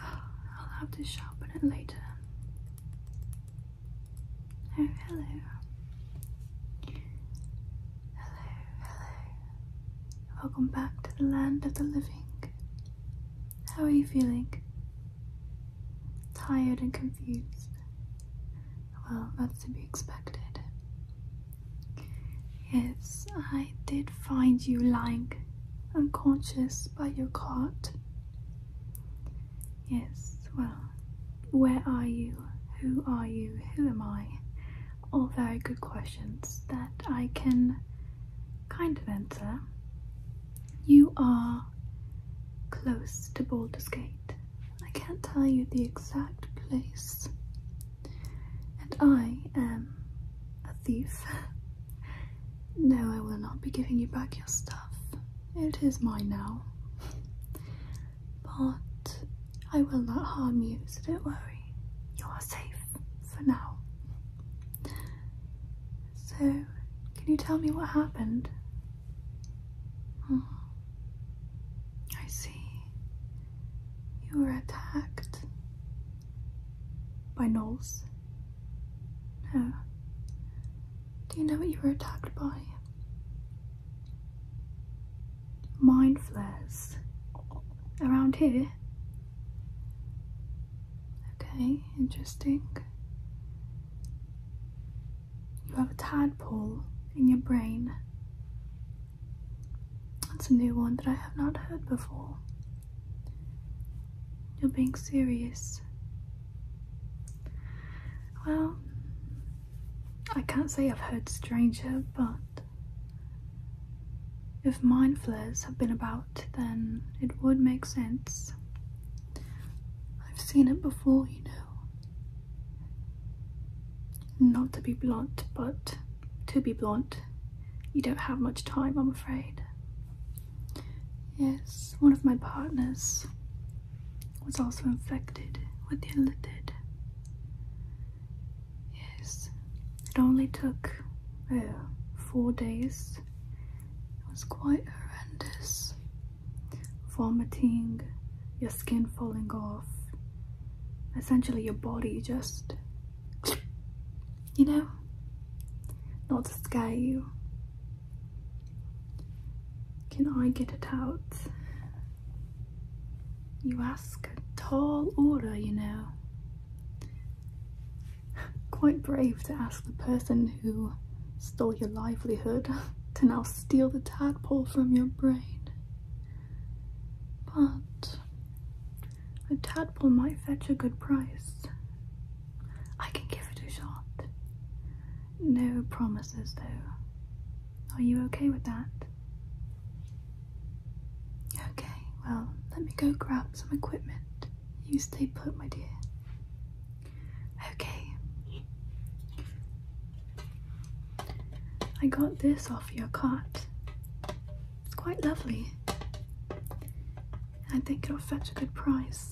I'll have to sharpen it later. Oh, hello. Hello, hello. Welcome back to the land of the living. How are you feeling? Tired and confused? Well, that's to be expected. Yes, I did find you lying unconscious by your cot. Yes, well, where are you? Who are you? Who am I? All very good questions that I can kind of answer. You are close to Baldur's Gate. I can't tell you the exact place and I am a thief. no, I will not be giving you back your stuff. It is mine now. but I will not harm you, so don't worry. You are safe for now. So, can you tell me what happened? Hmm. I see. You were attacked. By Knowles? No. Do you know what you were attacked by? Mind flares. Around here? Okay, interesting. You have a tadpole in your brain. That's a new one that I have not heard before. You're being serious. Well, I can't say I've heard stranger, but if mind flares have been about, then it would make sense. I've seen it before, you know. Not to be blunt, but to be blunt, you don't have much time, I'm afraid. Yes, one of my partners was also infected with the illithid. Yes, it only took uh, four days. It was quite horrendous. Vomiting, your skin falling off, essentially your body just you know? Not to scare you. Can I get it out? You ask a tall order, you know. Quite brave to ask the person who stole your livelihood to now steal the tadpole from your brain. But a tadpole might fetch a good price. I can give it a shot. No promises though. Are you okay with that? Okay, well, let me go grab some equipment. You stay put, my dear. Okay. I got this off your cart. It's quite lovely. I think it'll fetch a good price.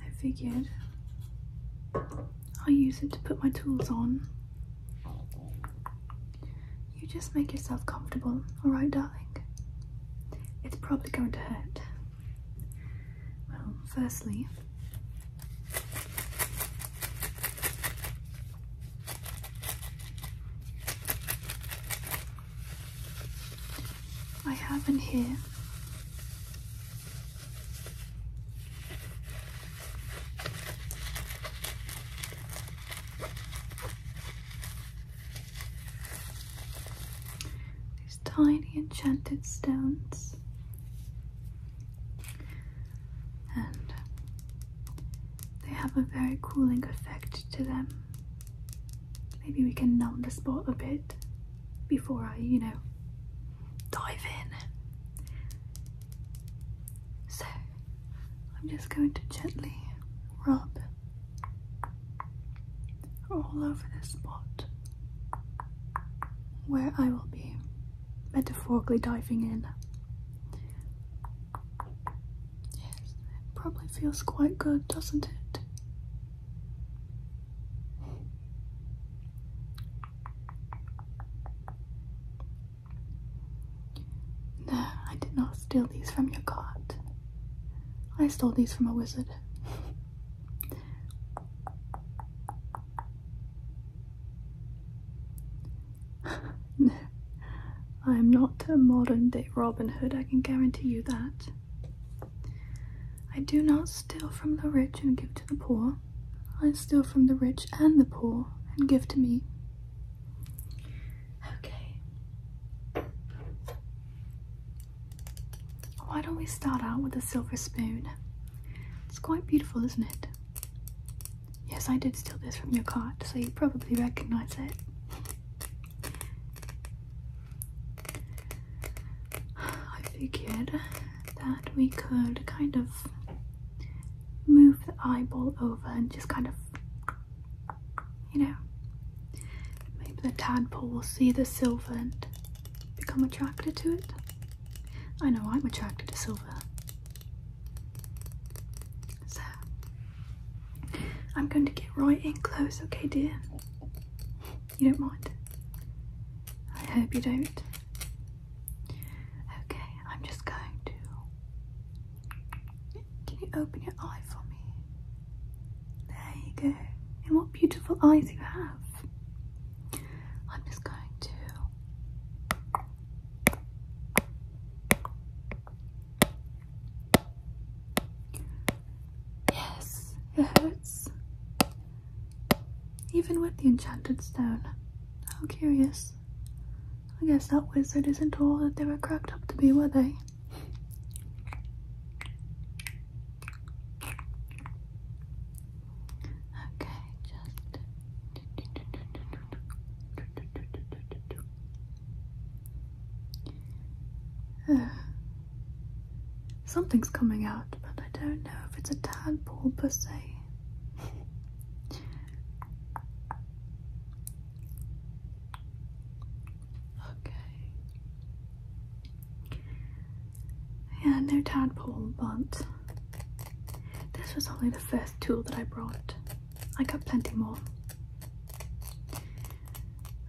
I figured I'll use it to put my tools on you just make yourself comfortable, alright, darling? It's probably going to hurt. Well, firstly, I have in here these tiny enchanted stones. And they have a very cooling effect to them. Maybe we can numb the spot a bit before I, you know, dive in. So I'm just going to gently rub all over this spot where I will be metaphorically diving in. Yes, probably feels quite good, doesn't it? No, I did not steal these from your cart. I stole these from a wizard. I am not a modern day Robin Hood, I can guarantee you that. I do not steal from the rich and give to the poor. I steal from the rich and the poor and give to me. Okay. Why don't we start out with a silver spoon? It's quite beautiful, isn't it? Yes, I did steal this from your cart, so you probably recognize it. I figured that we could kind of move the eyeball over and just kind of you know, maybe the tadpole will see the silver and become attracted to it. I know I'm attracted to silver. So, I'm going to get right in close, okay, dear? You don't mind? I hope you don't. Okay, I'm just going to can you open your eye for me? There you go. And what beautiful eyes you have. I'm just going to. Yes, it hurts. Even with the enchanted stone. How curious. I guess that wizard isn't all that they were cracked up to be, were they? Okay, just something's coming out, but I don't know if it's a tadpole per se. Okay. Yeah, no tadpole, but this was only the first tool that I brought. I got plenty more.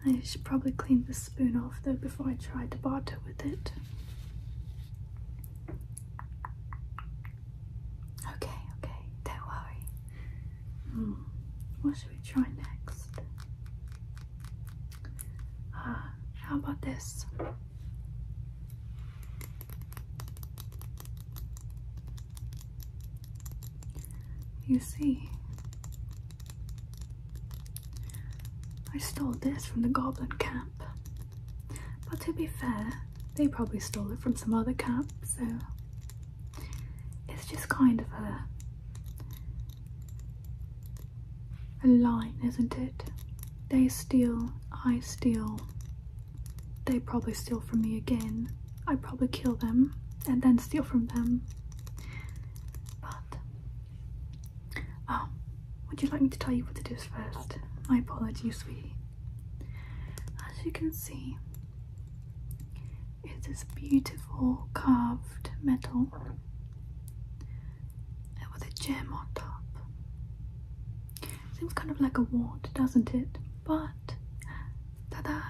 I should probably clean the spoon off though before I try to barter with it. Okay, okay, don't worry. Hmm, what should we try next? Uh, how about this? You see, I stole this from the goblin camp. But to be fair, they probably stole it from some other camp, so it's just kind of a a line, isn't it? They steal, I steal, they probably steal from me again. I probably kill them and then steal from them. But oh, would you like me to tell you what it is first? I apologize, sweetie. As you can see, it is this beautiful carved metal with a gem on top. Seems kind of like a wand, doesn't it? But, ta-da!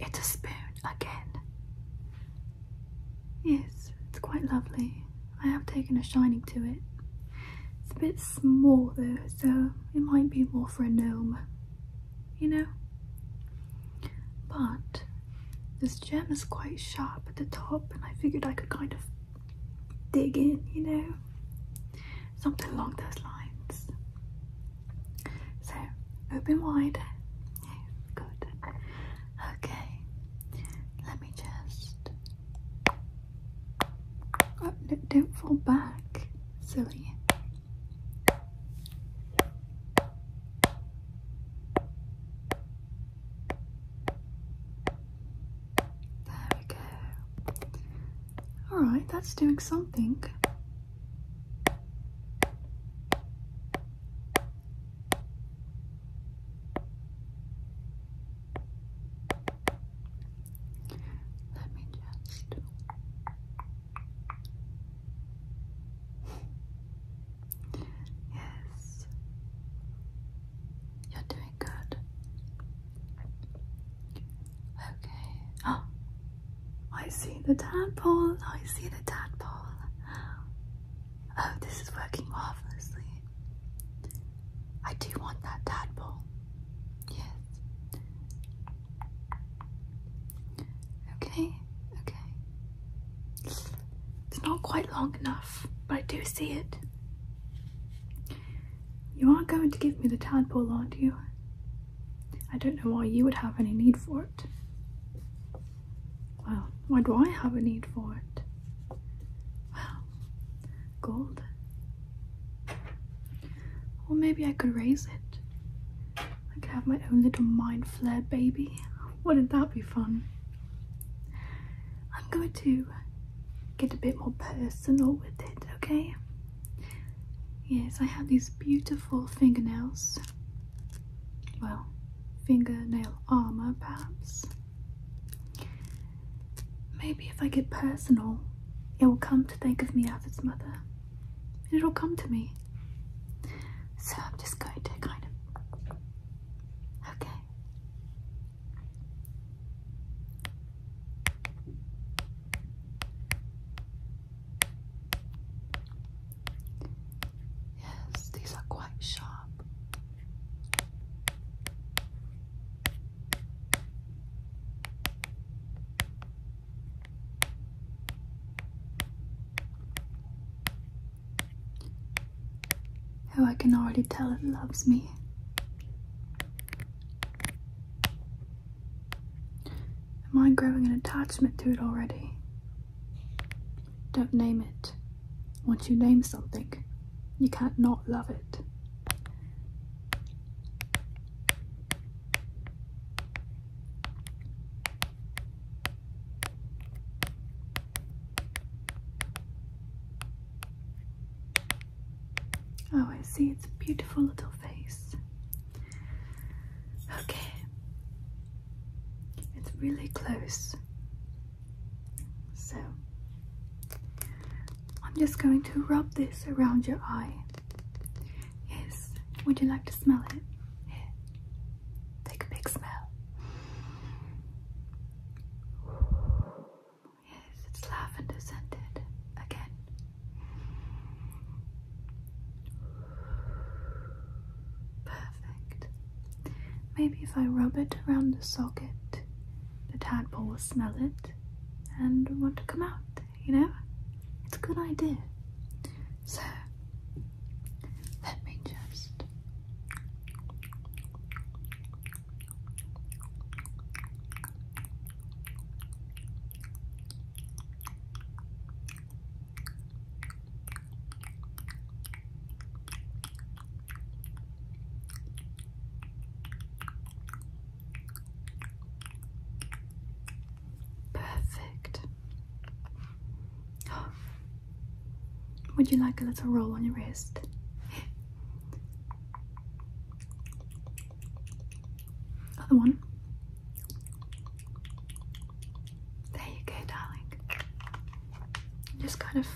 It's a spoon again. Yes, it's quite lovely. I have taken a shining to it. It's a bit small though, so it might be more for a gnome, you know? But this gem is quite sharp at the top, and I figured I could kind of dig in, you know? Something along those lines. So, open wide. Good. Okay, let me just Oh, don't fall back, silly. There we go. Alright, that's doing something. Let me just. yes. You're doing good. Okay. Oh, I see the tadpole. I see the tadpole. Oh, this is working marvelously. I do want that tadpole. Yes. Okay, okay. It's not quite long enough, but I do see it. You aren't going to give me the tadpole, are you? I don't know why you would have any need for it. Well, why do I have a need for it? Well, gold, or maybe I could raise it. I could have my own little mind flare baby. Wouldn't that be fun? I'm going to get a bit more personal with it, okay? Yes, I have these beautiful fingernails. Well, fingernail armour perhaps. Maybe if I get personal, it will come to think of me as its mother. It'll come to me. So I'm just going to kind of. Okay. Yes, these are quite sharp. Oh, I can already tell it loves me. Am I growing an attachment to it already? Don't name it. Once you name something, you can't not love it. Oh, I see its beautiful little face. Okay, it's really close so I'm just going to rub this around your eye. Yes, would you like to smell it? take a big smell. Yes, it's lavender scented again. Perfect. Maybe if I rub it around the socket, the tadpole will smell it and want to come out, you know? It's a good idea. So, let me just. Perfect. Would you like a little roll on your wrist? Other one. There you go, darling. Just kind of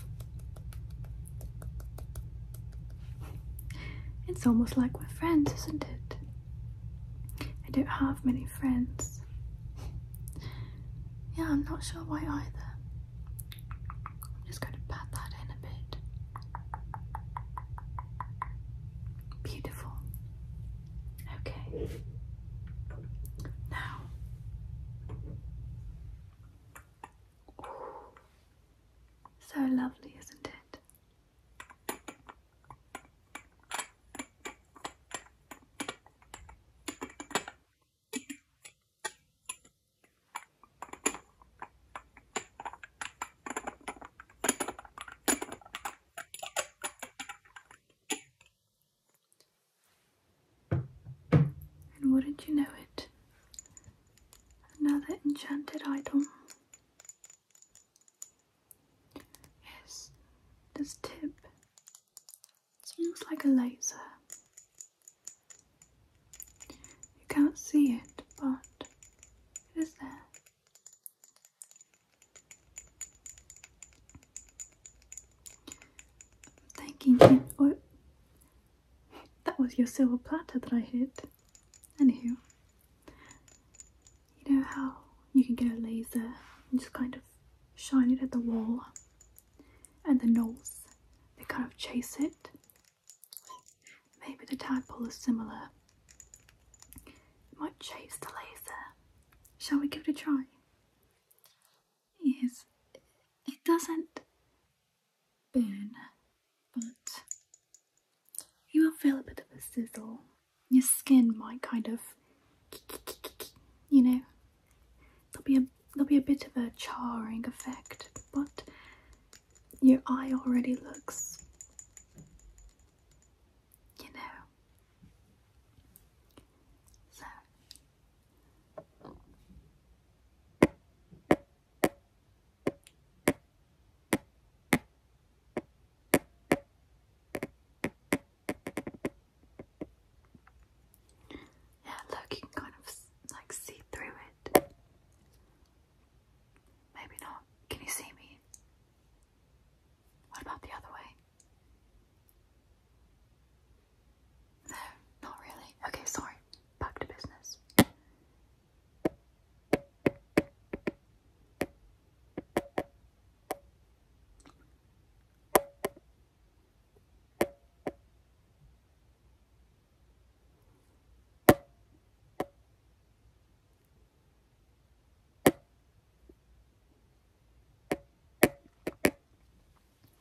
it's almost like we're friends, isn't it? I don't have many friends. Yeah, I'm not sure why either. I'm just going to pat that in a bit. Beautiful. Okay. Now, so lovely, isn't it? And wouldn't you know it? Another enchanted item. Yes, this tip seems like a laser. You can't see it, but it is there. I'm thinking, that was your silver platter that I hid. Anywho, you know how you can get a laser and just kind of shine it at the wall, and the gnolls they kind of chase it. Maybe the tadpole is similar. might chase the laser. Shall we give it a try? Yes, it doesn't burn, but you will feel a bit of a sizzle. Your skin might kind of, you know, there'll be a there'll be a bit of a charring effect, but your eye already looks, you know. Yeah, look, you can kind of like see through it. Maybe not. Can you see me? What about the other way? No, not really. Okay, sorry. Back to business.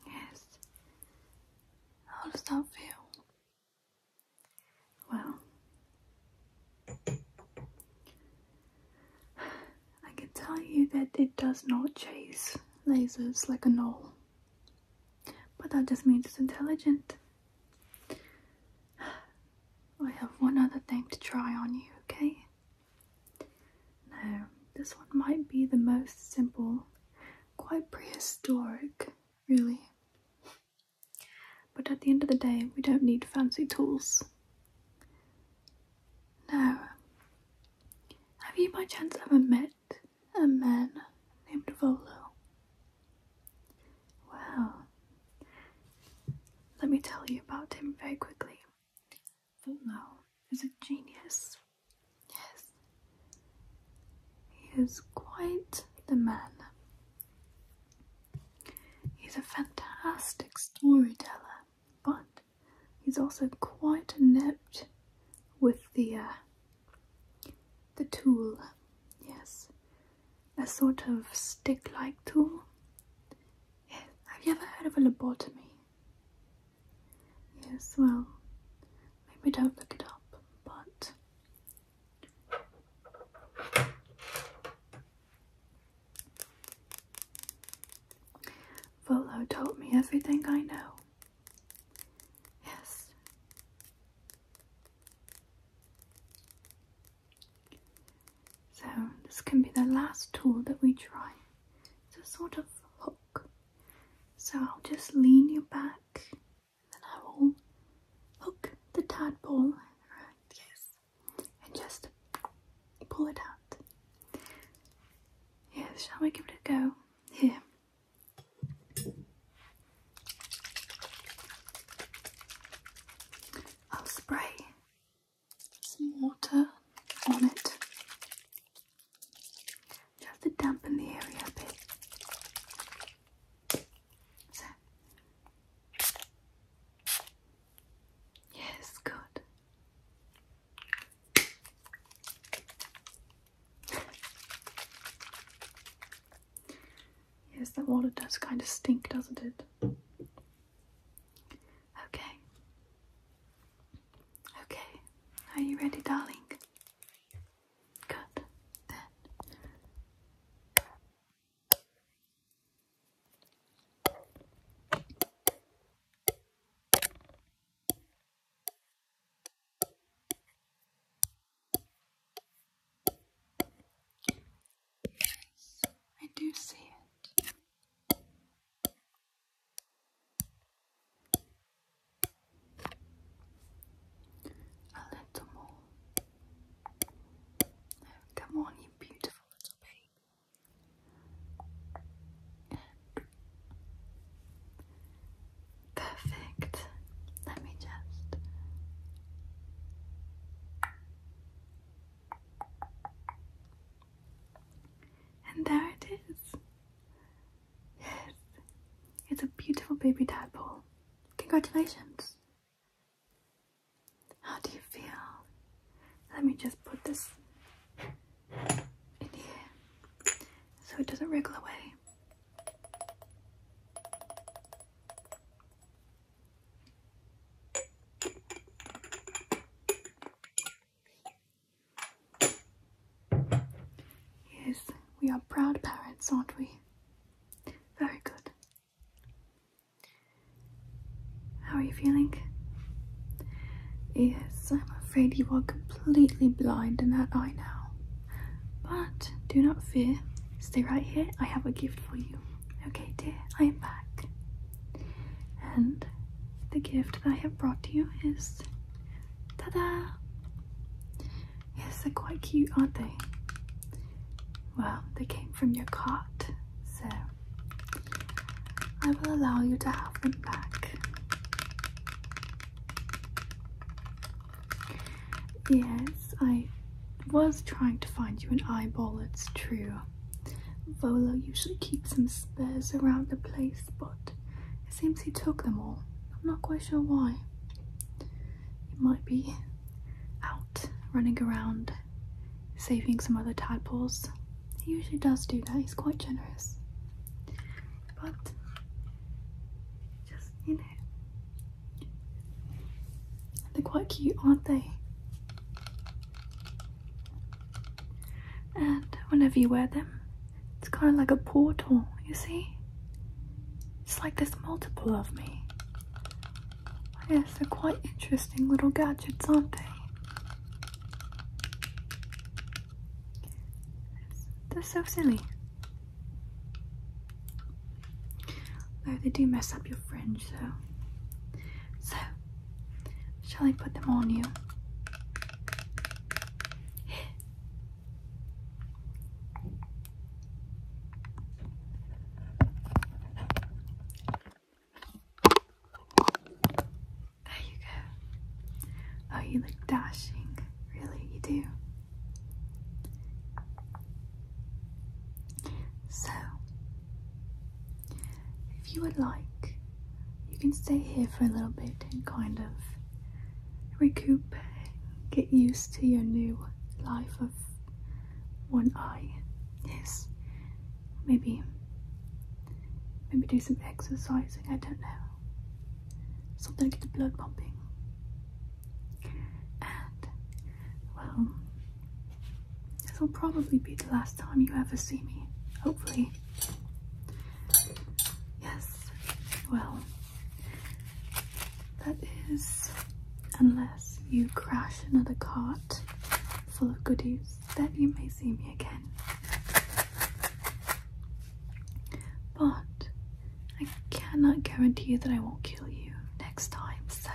Yes. How does that feel? Well, I can tell you that it does not chase lasers like a knoll, but that just means it's intelligent. I have one other thing to try on you, okay? Now, this one might be the most simple, quite prehistoric, really. But at the end of the day, we don't need fancy tools. Now, have you by chance ever met a man named Volo? Well, let me tell you about him very quickly. Fumao is a genius. Yes. He is quite the man. He's a fantastic storyteller, but he's also quite adept with the uh, the tool. Yes, a sort of stick-like tool. Yes. Have you ever heard of a lobotomy? Yes, well, maybe don't look it up, but Volo told me everything I know. Yes. So, this can be the last tool that we try. It's a sort of so I'll just lean you back and then I will hook the tadpole, right, yes, and just pull it out. Yes, shall we give it a go? Here. I'll spray some water on it just to dampen the area a bit. So, yes, good. Yes, that water does kind of stink, doesn't it? Okay. Okay, are you ready, darling? Good, then. I do see it. A little more. Oh, come on, you beautiful little baby. Perfect. Let me just. And there it is. Yes, it's a beautiful baby tadpole. Congratulations. How do you feel? Let me just put this in here so it doesn't wriggle away. Yes, we are proud parents, aren't we? Very good. How are you feeling? Yes, I'm afraid you are completely blind in that eye now. But do not fear. Stay right here. I have a gift for you. Okay, dear, I am back. And the gift that I have brought to you is ta-da! Yes, they're quite cute, aren't they? Well, they came from your cart, so I will allow you to have them back. Yes, I was trying to find you an eyeball, it's true. Volo usually keeps some spares around the place, but it seems he took them all. I'm not quite sure why. He might be out running around saving some other tadpoles. He usually does do that, he's quite generous. But just, you know, they're quite cute, aren't they? And whenever you wear them, it's kind of like a portal, you see? It's like there's multiple of me. Yes, they're quite interesting little gadgets, aren't they? They're so silly. Though they do mess up your fringe, though. So, Shall I put them on you? There you go. Oh, you look dashing. Really, you do. So, if you would like, you can stay here for a little bit and kind of recoup, get used to your new life of one eye. Yes, maybe, maybe do some exercising. I don't know, something to get the blood pumping. And well, this will probably be the last time you ever see me, hopefully. Yes, well, that is unless you crash another cart full of goodies, then you may see me again. But I cannot guarantee that I won't kill you next time, so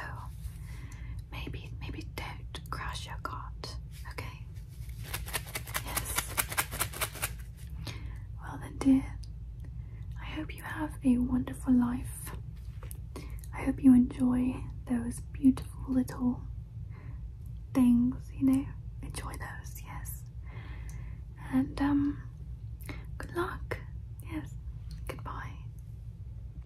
maybe, maybe don't do crash your cart, okay? Yes. Well, then, dear, I hope you have a wonderful life. I hope you enjoy those beautiful little things, you know? Enjoy those, yes. And, um, good luck. Yes. Goodbye.